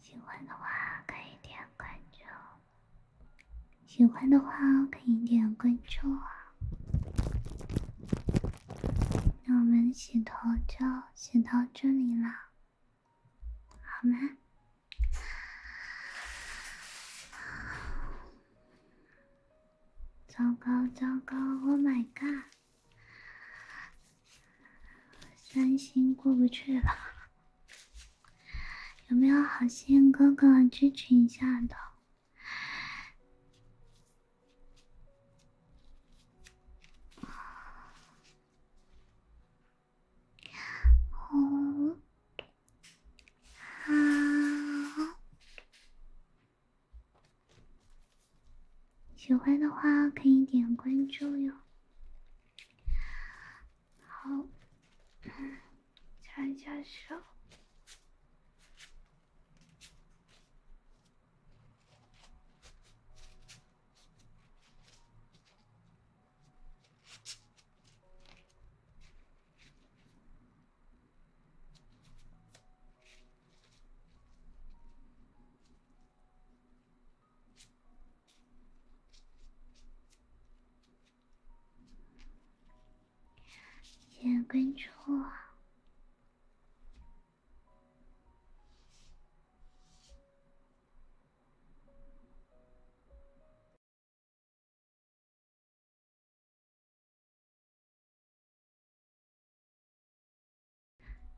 喜欢的话可以点关注，喜欢的话可以点关注啊。那我们洗头就洗到这里了，好吗？糟糕糟糕，Oh my God！三星过不去了，有没有好心哥哥支持一下的？喜欢的话可以点关注哟。好，擦一下手。谢谢关注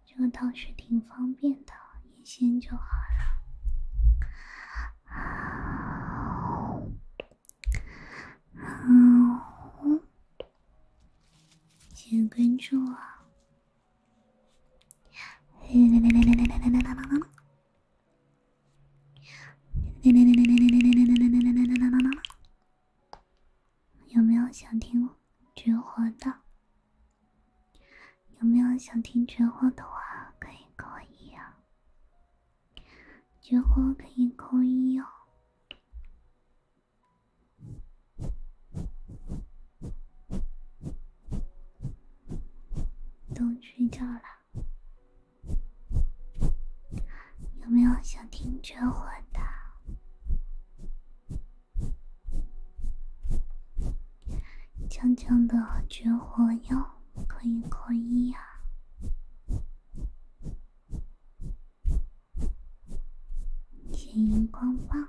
这个倒是挺方便的，一线就好了。好，好，谢谢关注我。有没有想听绝活的？有没有想听绝活的话，可以扣一啊！绝活可以扣一哦。都睡觉了，有没有想听绝活的？江江的绝活哟，可以靠医呀，写荧光棒。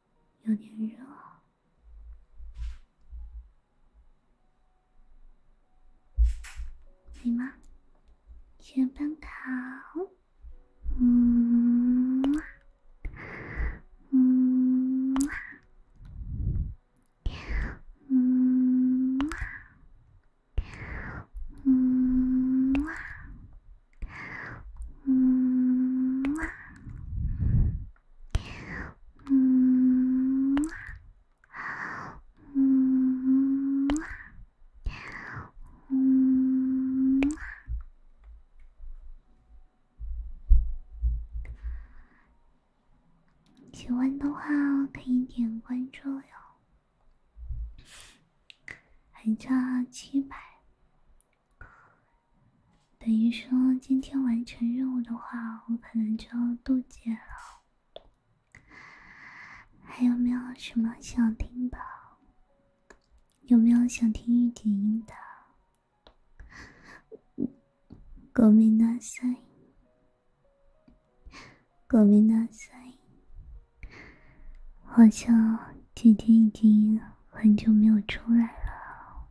有点热，你吗？先班跑。嗯，嗯。嗯，嗯，嗯，嗯，嗯，喜欢的话可以点关注哟，还差七百。等于说，今天完成任务的话，我可能就要渡劫了。还有没有什么想听的？有没有想听御姐音的？国民ごめ国民さい。好像姐姐已经很久没有出来了。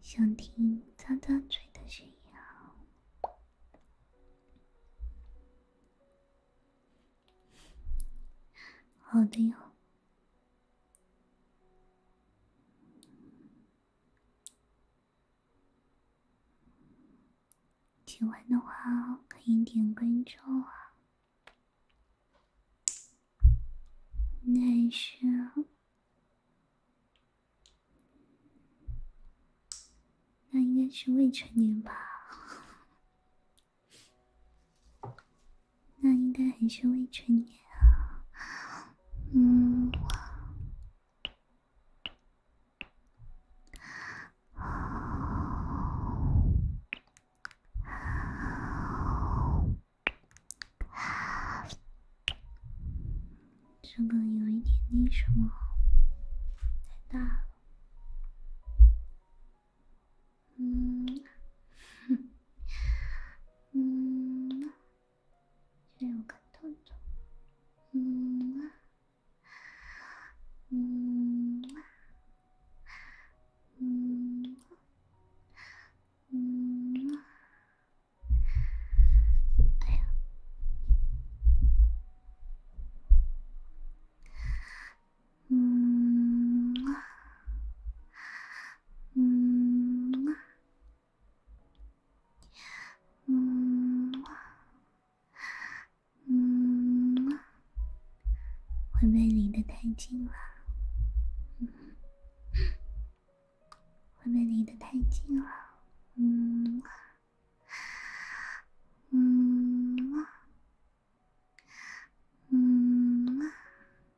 想听张张嘴的声音啊？好的哟。喜欢的话可以点关注啊，但是那应该是未成年吧。那应该还是未成年啊，嗯，这个有一点那什么，太大了。嗯，嗯，让我看动作，嗯，嗯，嗯，嗯，哎呀。嗯嘛，嗯嘛，嗯嘛，嗯嘛，会被离得太近了，嗯，会离得太近了，嗯嗯嗯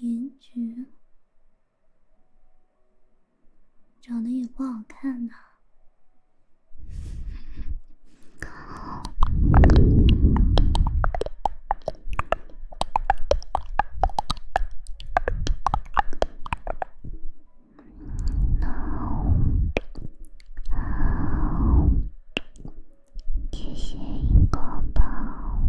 颜值。长得也不好看呢。那谢谢一个吧。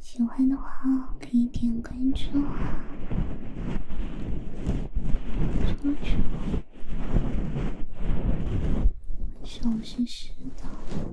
喜欢的话可以点关注。出去了，我小的。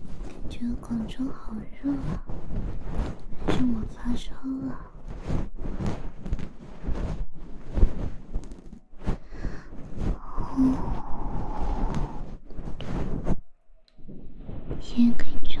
感觉广州好热啊！还是我发烧了？哦，可以关注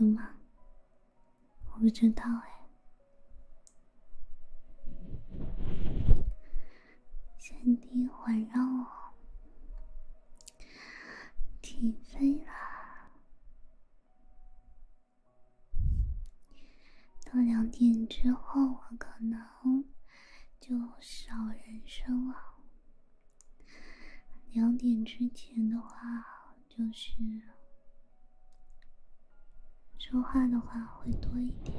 有吗？我不知道哎。身体环绕我，起飞了。到两点之后，我可能就少人声了。两点之前的话，就是说话的话会多一点。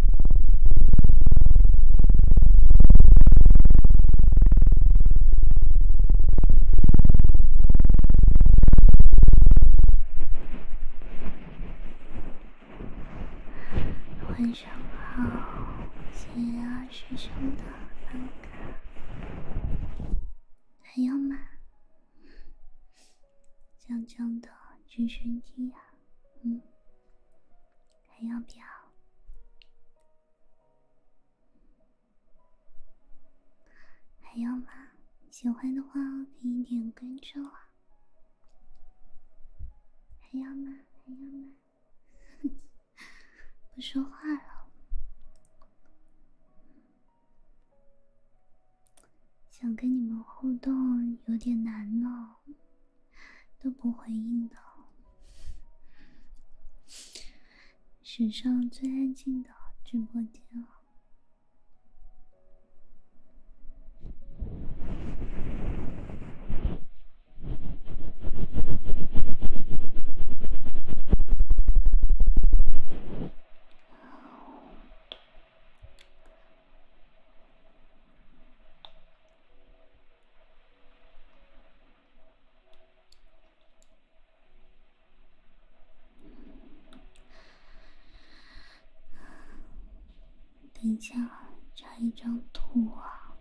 晚上好，四二学生的房卡还有吗？江江的直升机啊，嗯。还要不要？还要吗？喜欢的话可以点关注啊。还要吗？还要吗？不说话了，想跟你们互动有点难呢。都不回应的，史上最安静的直播间了。等一下，查一张图啊！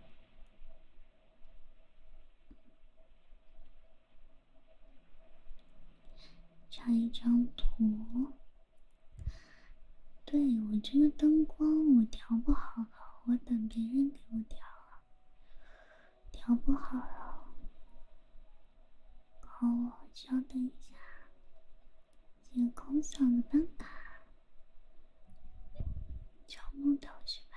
查一张图。对我这个灯光，我调不好。好我等别人给我调，调不好了，好我下，这个空嗓小办法，敲木头吃饭。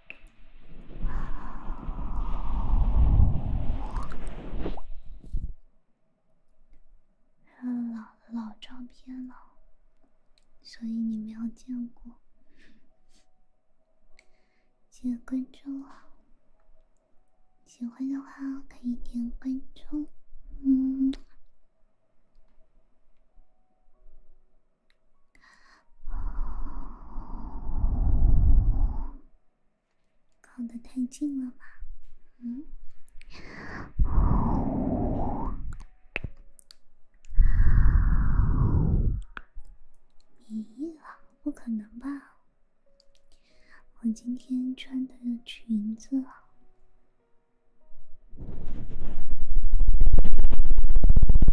老老照片了，所以你没有见过。记得关注哦，喜欢的话可以点关注，嗯。靠得太近了吧？嗯，咦不可能吧？我今天穿的裙子。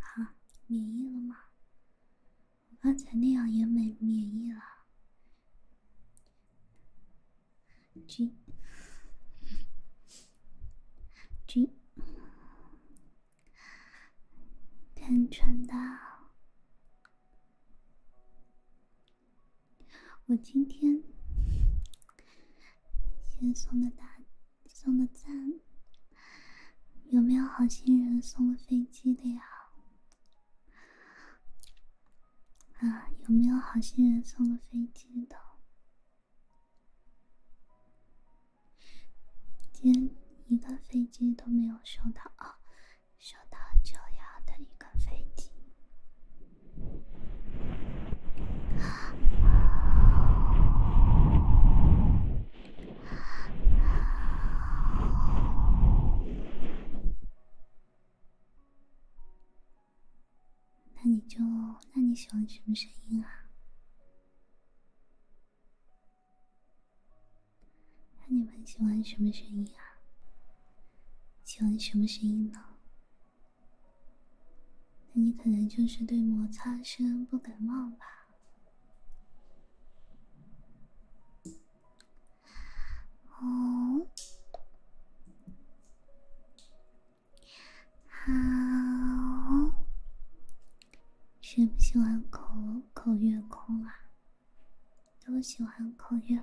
好，免疫了吗？我刚才那样也没免疫了。G G，天真的。我今天先送的大送的赞，有没有好心人送飞机的呀？啊，有没有好心人送的飞机的？今天一个飞机都没有收到啊！收到就要的一个飞机。那你就那你喜欢什么声音啊？那你们喜欢什么声音啊？喜欢什么声音呢？那你可能就是对摩擦声不感冒吧？哦，好，谁不喜欢口口月空啊？都喜欢口月。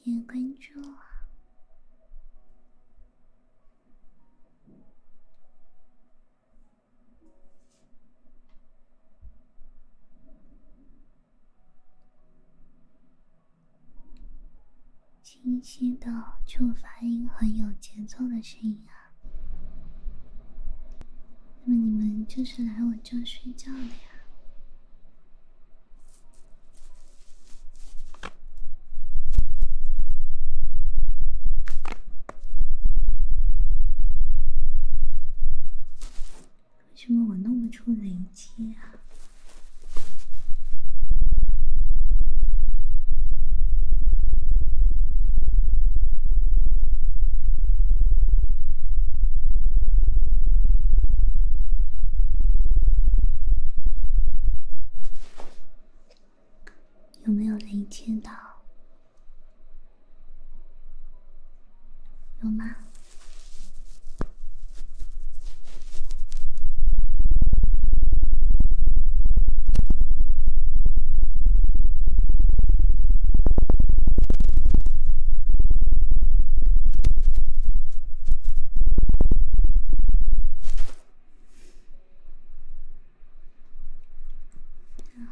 谢谢关注，清晰的触发音很有节奏的声音啊。那么你们就是来我这睡觉的呀？为什么我弄不出雷击啊？有没有人听到？有吗？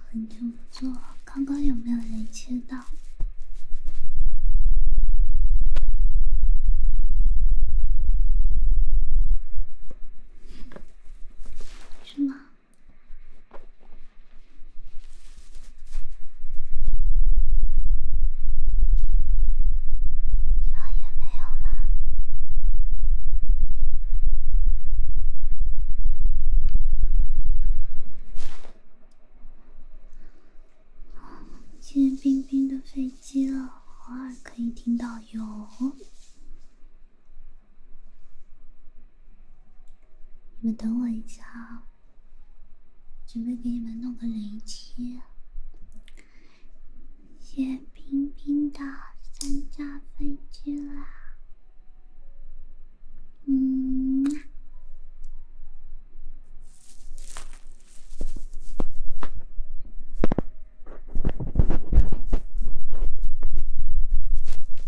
很久不做了，刚刚有没有人接到？是吗？好也没有了。见冰冰的飞机了，偶尔可以听到有。你们等我一下，啊，准备给你们弄个雷机，谢冰冰的三架飞机啦。嗯。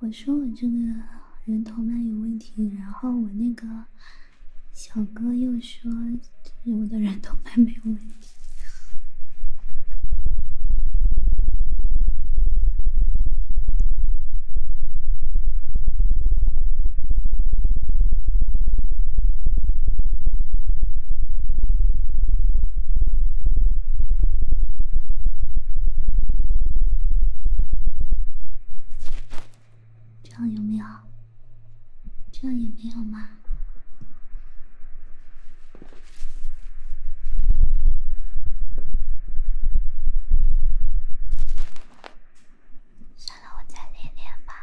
我说我这个人头麦有问题，然后我那个小哥又说我的人头麦没有问题。这样有没有？这样也没有吗？算了，我再练练吧。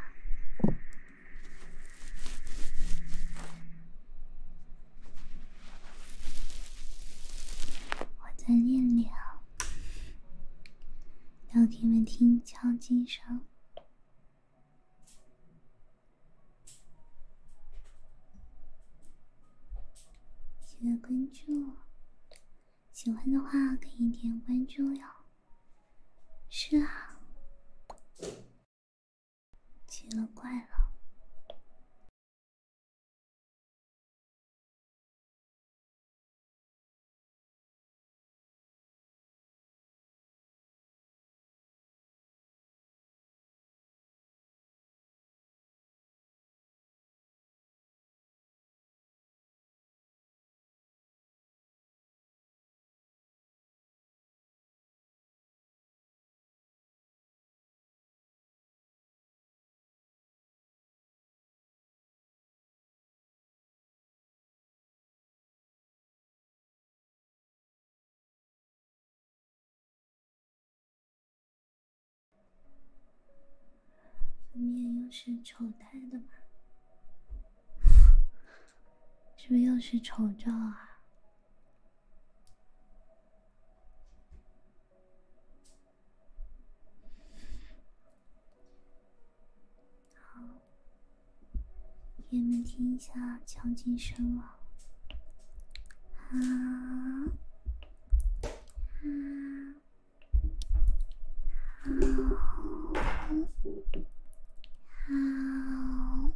我在练练，让听没听敲击声？谢谢关注，喜欢的话可以点关注哟。是啊。奇了怪了。你也又是丑态的吗？是不是又是丑照啊？好，给你们听一下敲击声了。好，好，好，好。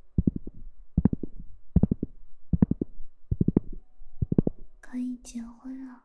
可以结婚了。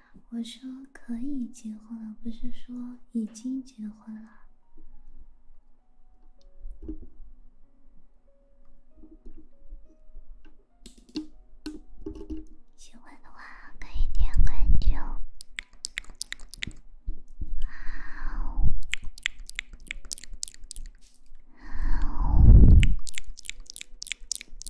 我说可以结婚了，不是说已经结婚了。喜欢的话可以点关注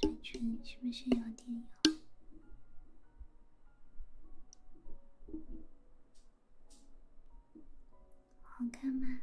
嘴唇是不是有点痒？好看吗？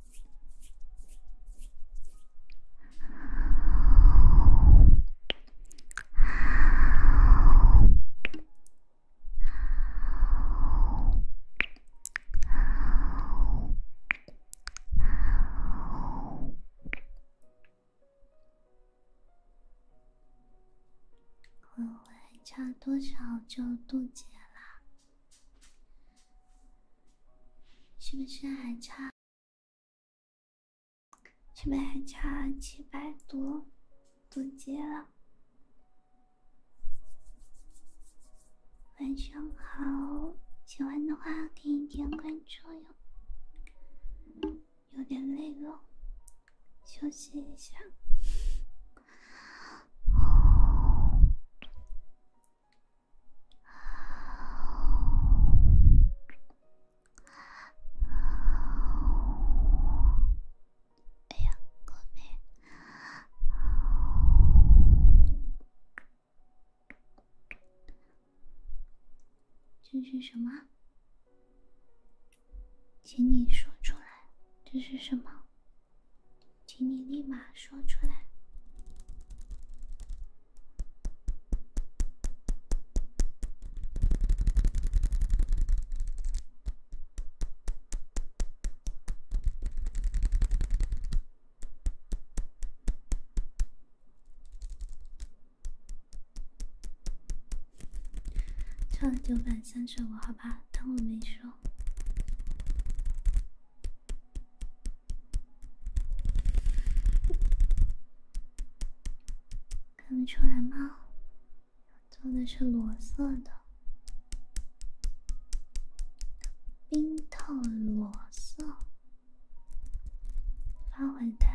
差多少就渡劫了？是不是还差？是不是还差七百多？多结了。晚上好，喜欢的话可以点关注哟。有点累了，休息一下。哎呀，宝贝，这是什么？请你说出来，这是什么？请你立马说出来。错了九百三十五，好吧，当我没说。看得出来吗？做的是裸色的，冰透裸色，发回搭。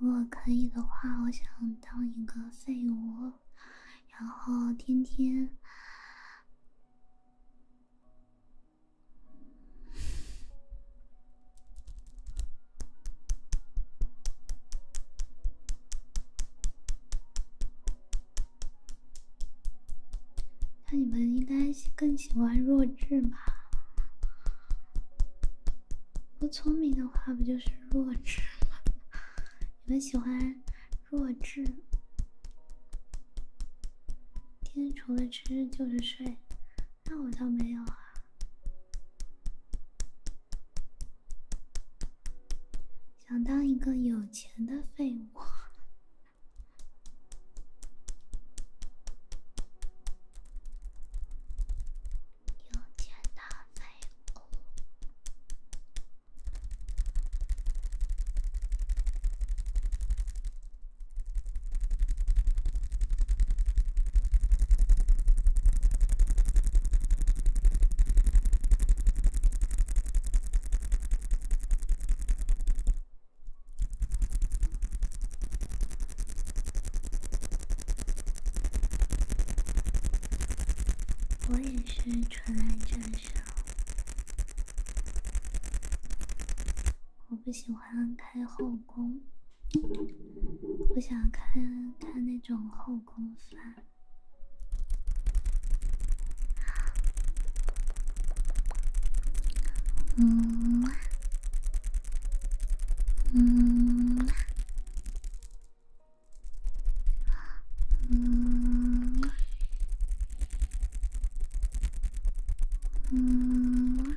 如果可以的话，我想当一个废物，然后天天。那你们应该更喜欢弱智吧？不聪明的话，不就是弱智吗？你们喜欢弱智？天除了吃就是睡，那我倒没有啊。想当一个有钱的废物，我也是纯爱战士，我不喜欢开后宫。我想看看那种后宫番。嗯，嗯，嗯，嗯。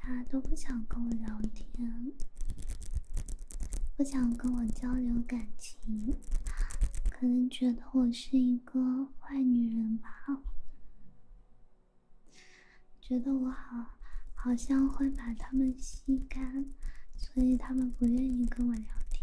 他都不想跟我聊天，不想跟我交流感情，可能觉得我是一个坏女人吧，觉得我好，好像会把他们吸干。所以他们不愿意跟我聊天。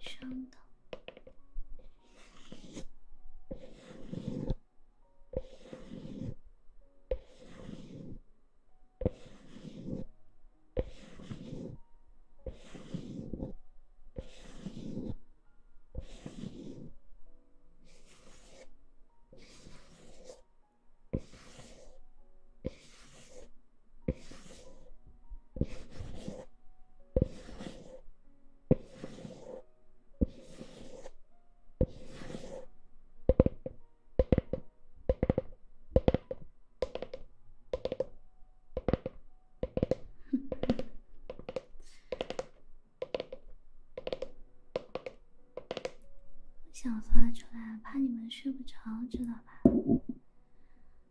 上等。想发出来，怕你们睡不着，知道。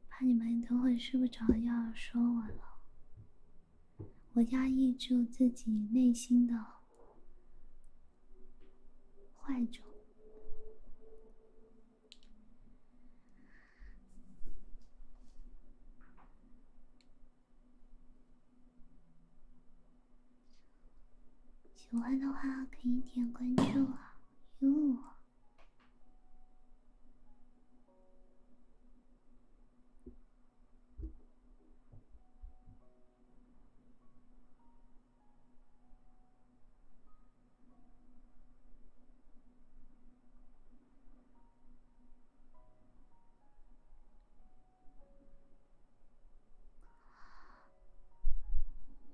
怕你们等会睡不着要说我了，我压抑住自己内心的坏种。喜欢的话可以点关注啊，哟。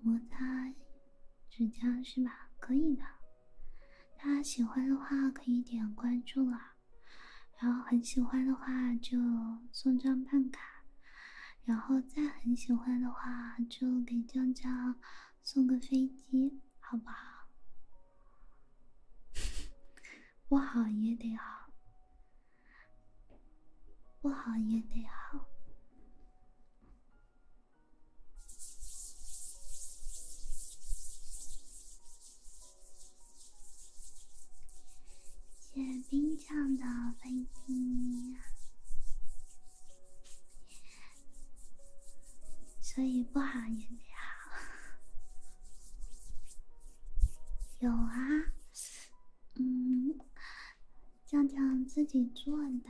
摩擦指甲是吧？可以的。大家喜欢的话可以点关注啊，然后很喜欢的话就送张办卡，然后再很喜欢的话就给江江送个飞机，好不好？不好也得好，不好也得好。谢冰酱的飞机，所以不好也得好。有啊，嗯。酱酱自己做的。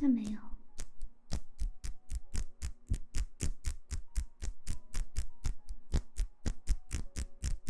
那没有。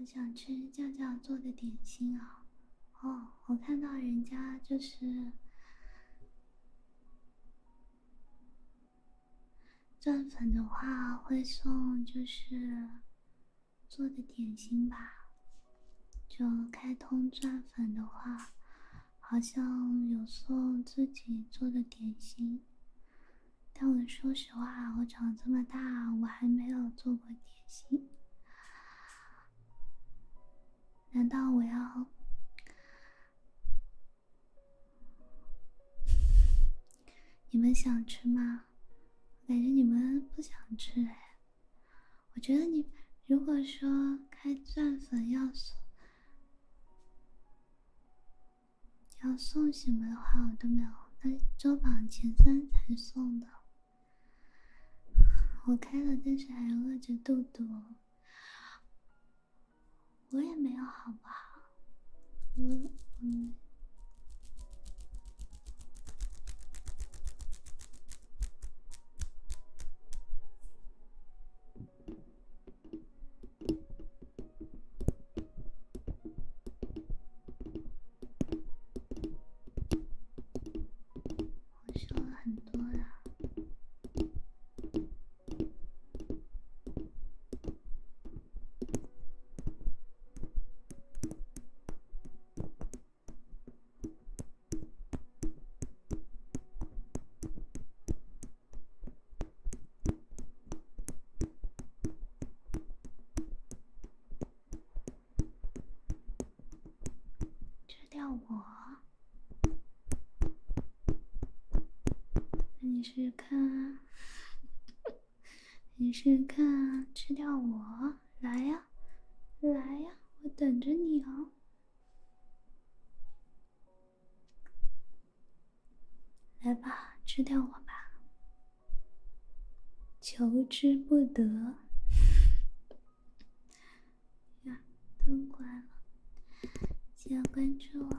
我想吃酱酱做的点心啊！哦，我看到人家就是钻粉的话会送，就是。做的点心吧，就开通钻粉的话，好像有送自己做的点心。但我说实话，我长这么大，我还没有做过点心。难道我要？你们想吃吗？感觉你们不想吃哎，我觉得你如果说开钻粉要送，要送什么的话，我都没有。那周榜前三才送的，我开了，但是还饿着肚肚。我也没有，好不好？我嗯。我说了很多了。去掉我？那你试试看啊。你试试看吃掉我？来呀，来呀，我等着你哦。来吧，吃掉我吧。求之不得。呀，灯关了。记得关注我。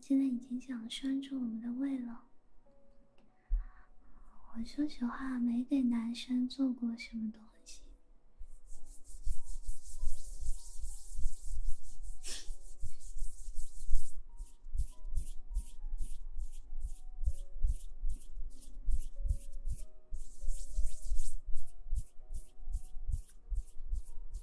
现在已经想拴住我们的胃了。我说实话，没给男生做过什么东西。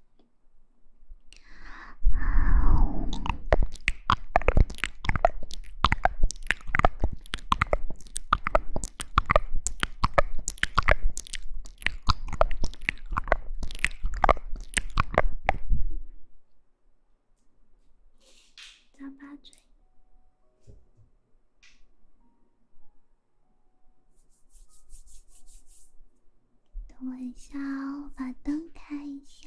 张大嘴。等我一下哦，把灯开一下。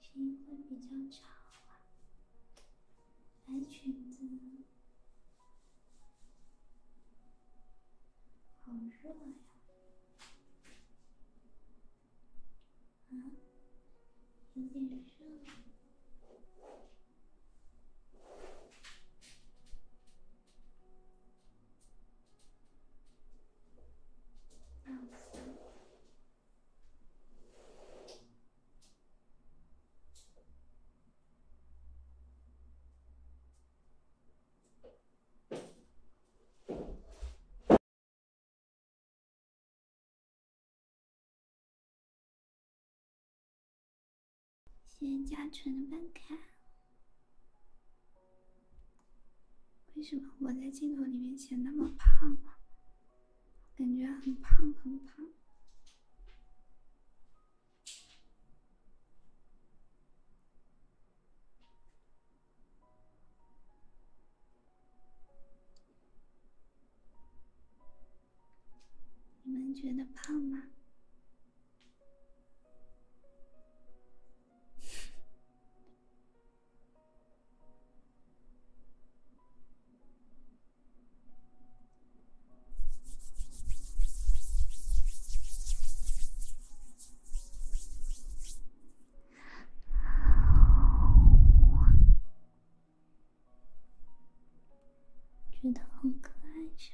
声音会比较吵啊！白裙子，呢？好热呀！啊，有点热。谢谢嘉纯的办卡。为什么我在镜头里面显那么胖啊？感觉很胖很胖。你们觉得胖吗？觉得好可爱。